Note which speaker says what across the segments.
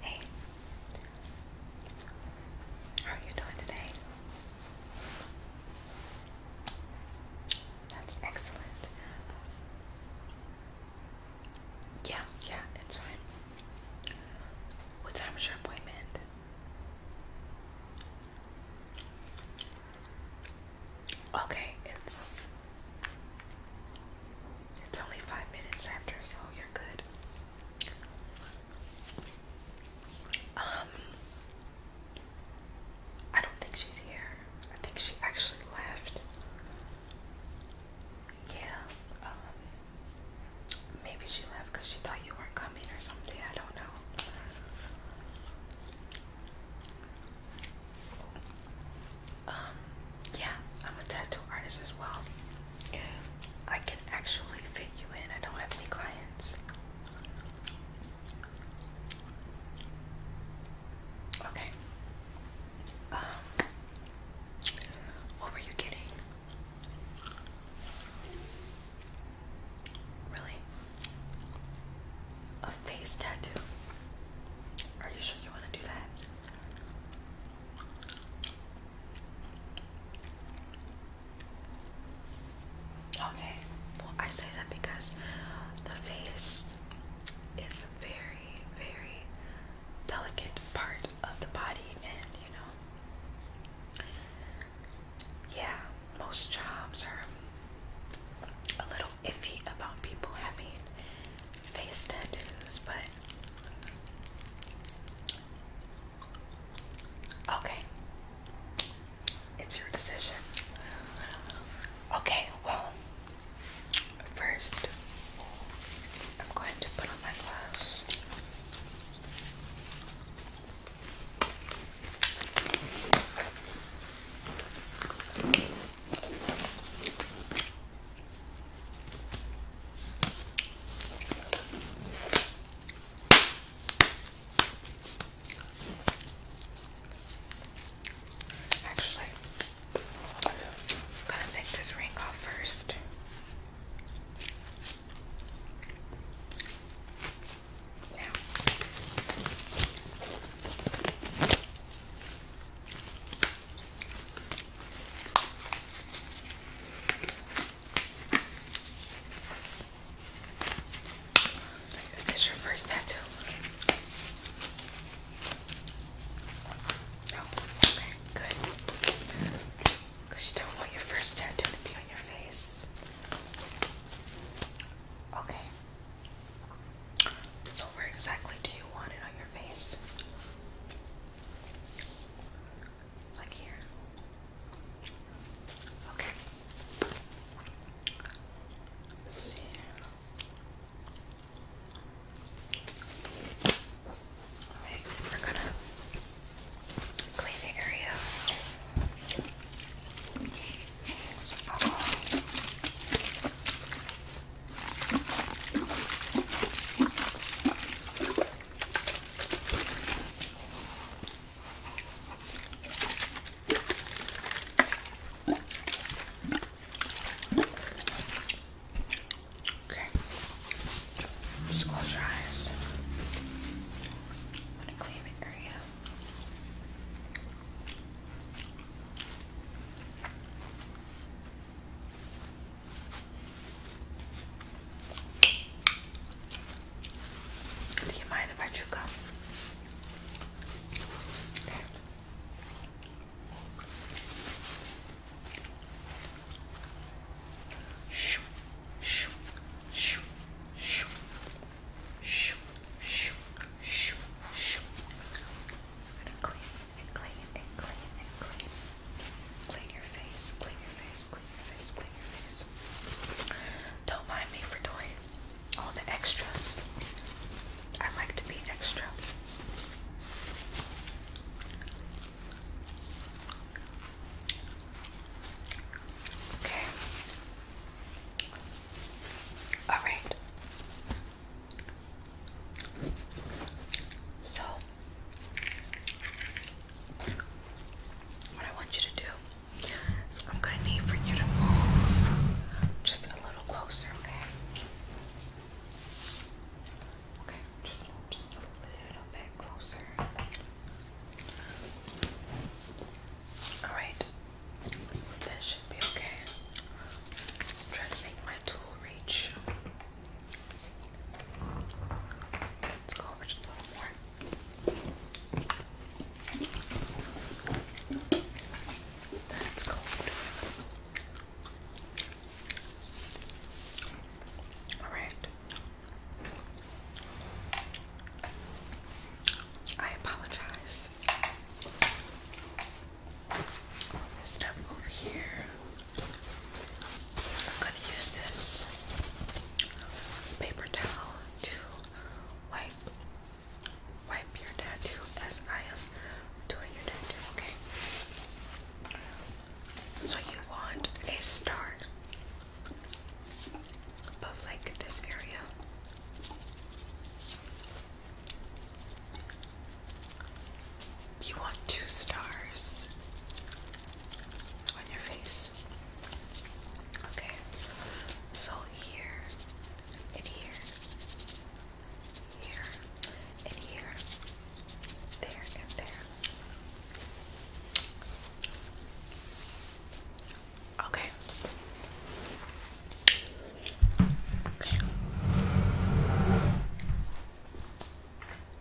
Speaker 1: Hey, how are you doing today? That's excellent. Yeah, yeah, it's fine. What time is your appointment? Okay, it's it's only five minutes after, so you're good. Um, I don't think she's here. I think she actually left. Yeah, um, maybe she left because she thought you weren't coming or something. I don't know um, yeah, I'm a tattoo artist as well. I can actually fit you in. I don't have any clients. Okay. Um, what were you getting? Really? A face tattoo? Are you sure you want to do that? Okay, well, I say that because the face is a very, very delicate part of the body, and you know, yeah, most jobs are a little iffy about people having face tattoos, but okay. It's your decision. Okay, well, first I'm going to put on my gloves. Actually, I'm gonna take this ring off first. Is your first tattoo? No. Oh, okay, good. Because you don't want your first tattoo to be on your face. Okay. So where exactly do you want it on your face? Like here. Okay. Let's see. Alright, we're gonna clean the area. Okay. Just close your eyes. I want to clean the area. Okay. Do you mind if I chew gum? Okay. Shoo, shoo, shoo, shoo, shoo, shoo, shoo, I'm gonna clean and clean and clean and clean. Clean your face, clean your face, clean your face, clean your face. Don't mind me for doing all the extras. I like to be extra. Okay. All right. So what I want you to do is I'm gonna need for you to move just a little closer, okay? Okay, just move just a little bit closer. Alright, that should be okay. i to make my tool reach. Let's go over just a little more. That's cold. Alright. I apologize. Stuff over here. I'm going to use this paper towel to wipe wipe your tattoo as I am doing your tattoo, okay? So you want a star above like this area. You want two stars on your face. Okay, so here and here, here and here, there and there. Okay. Okay.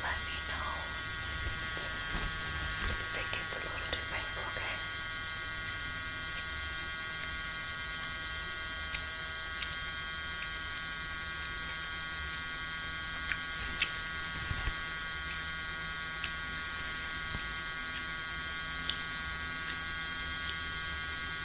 Speaker 1: Let me know if it gets a little too painful, okay?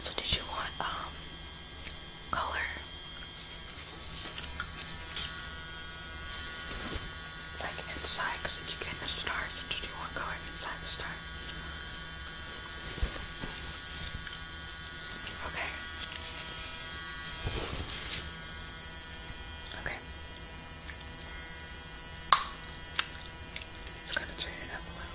Speaker 1: So did you want um color? like inside because if you get in the star, it's you want one color inside the star. Okay. Okay. Just gonna turn it up a little.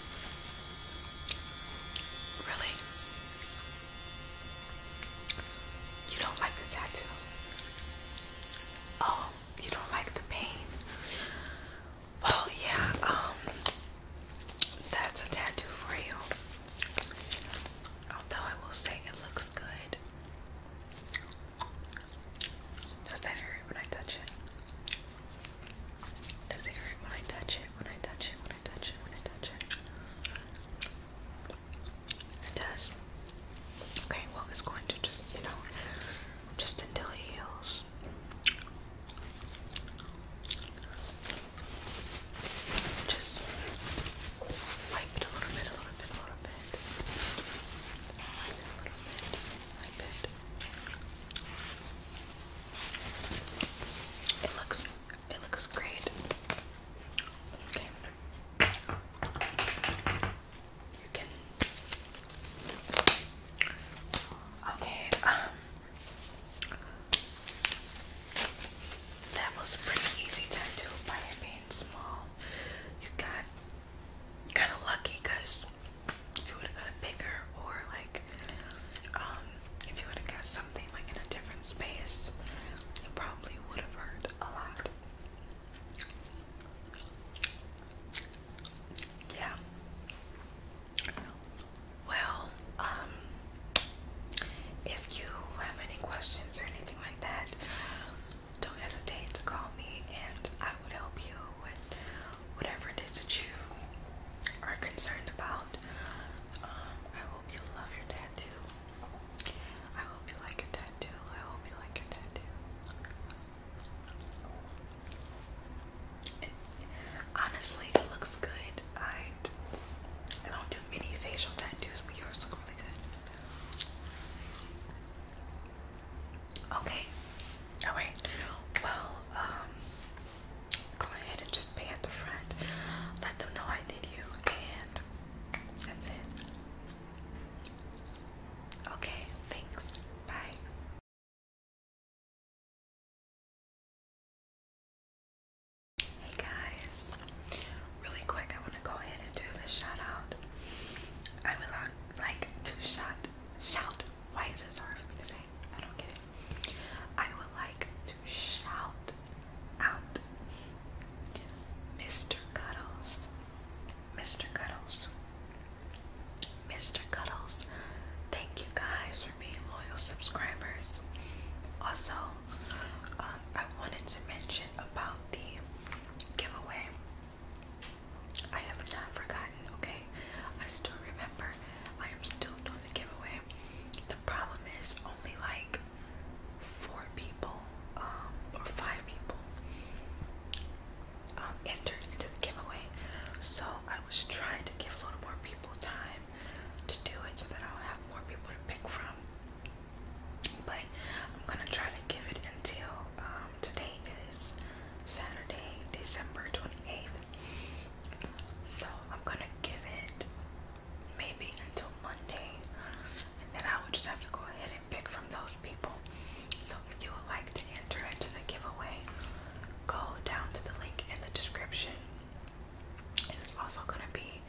Speaker 1: Really? You don't like the tattoo? Oh, you don't like the pain? Well, yeah, um, that's a tattoo for you. Although I will say it looks good. Does that when I touch it? Does it hurt when I touch it? When I touch it? When I touch it? When I touch it? It does. Okay, well, it's going to just, you know, just until it heals. Just wipe it a little bit, a little bit, a little bit. Wipe it a little bit, wipe it. It looks it looks great. Okay. You can Okay, um that was pretty easy time to buy it being small. You got kinda lucky because if you would have got a bigger or like um if you would have got something like in a different space, it probably would have hurt a lot. Yeah. Well, um if you have any questions or anything like that, don't hesitate to call me and I would help you whatever it is that you are concerned about. Um, I hope you love your tattoo. I hope you like your tattoo. I hope you like your tattoo. honestly, it looks good. I I don't do many facial tattoos, but yours look really good. Okay. Alright. Well, um go ahead and just pay at the front. Let them know I did you, and that's it. Okay, thanks. Bye. Hey guys, really quick, I want to go ahead and do this shout I would like to shout, shout. Why is it hard for me to say? I don't get it. I would like to shout out Mr. Cuddles, Mr. Cuddles, Mr. Cuddles. Thank you guys for being loyal subscribers. Also, um, I wanted to mention about the giveaway. I have not forgotten okay? I still remember. I am still doing the giveaway. The problem is only like four people um, or five people um, entered into the giveaway. So I was trying to give a little more people time to do it so that I'll have more people to pick from. But I'm gonna try to give it until um, today is Saturday, December 28th. So I'm gonna give it maybe until Monday, and then I would just have to go ahead and pick from those people. So if you would like to enter into the giveaway, go down to the link in the description. And it's also gonna be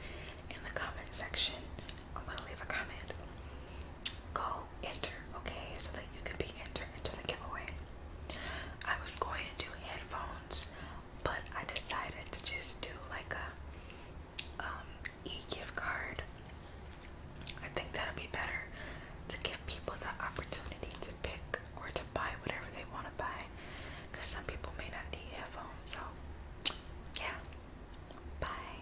Speaker 1: in the comment section. I'm gonna leave a comment. Go enter, okay, so that you can be entered into the giveaway. I was going to do headphones, but I decided to just do like a um, gift card. I think that'll be better to give people the opportunity to pick or to buy whatever they want to buy, because some people may not need headphones. So, yeah. Bye.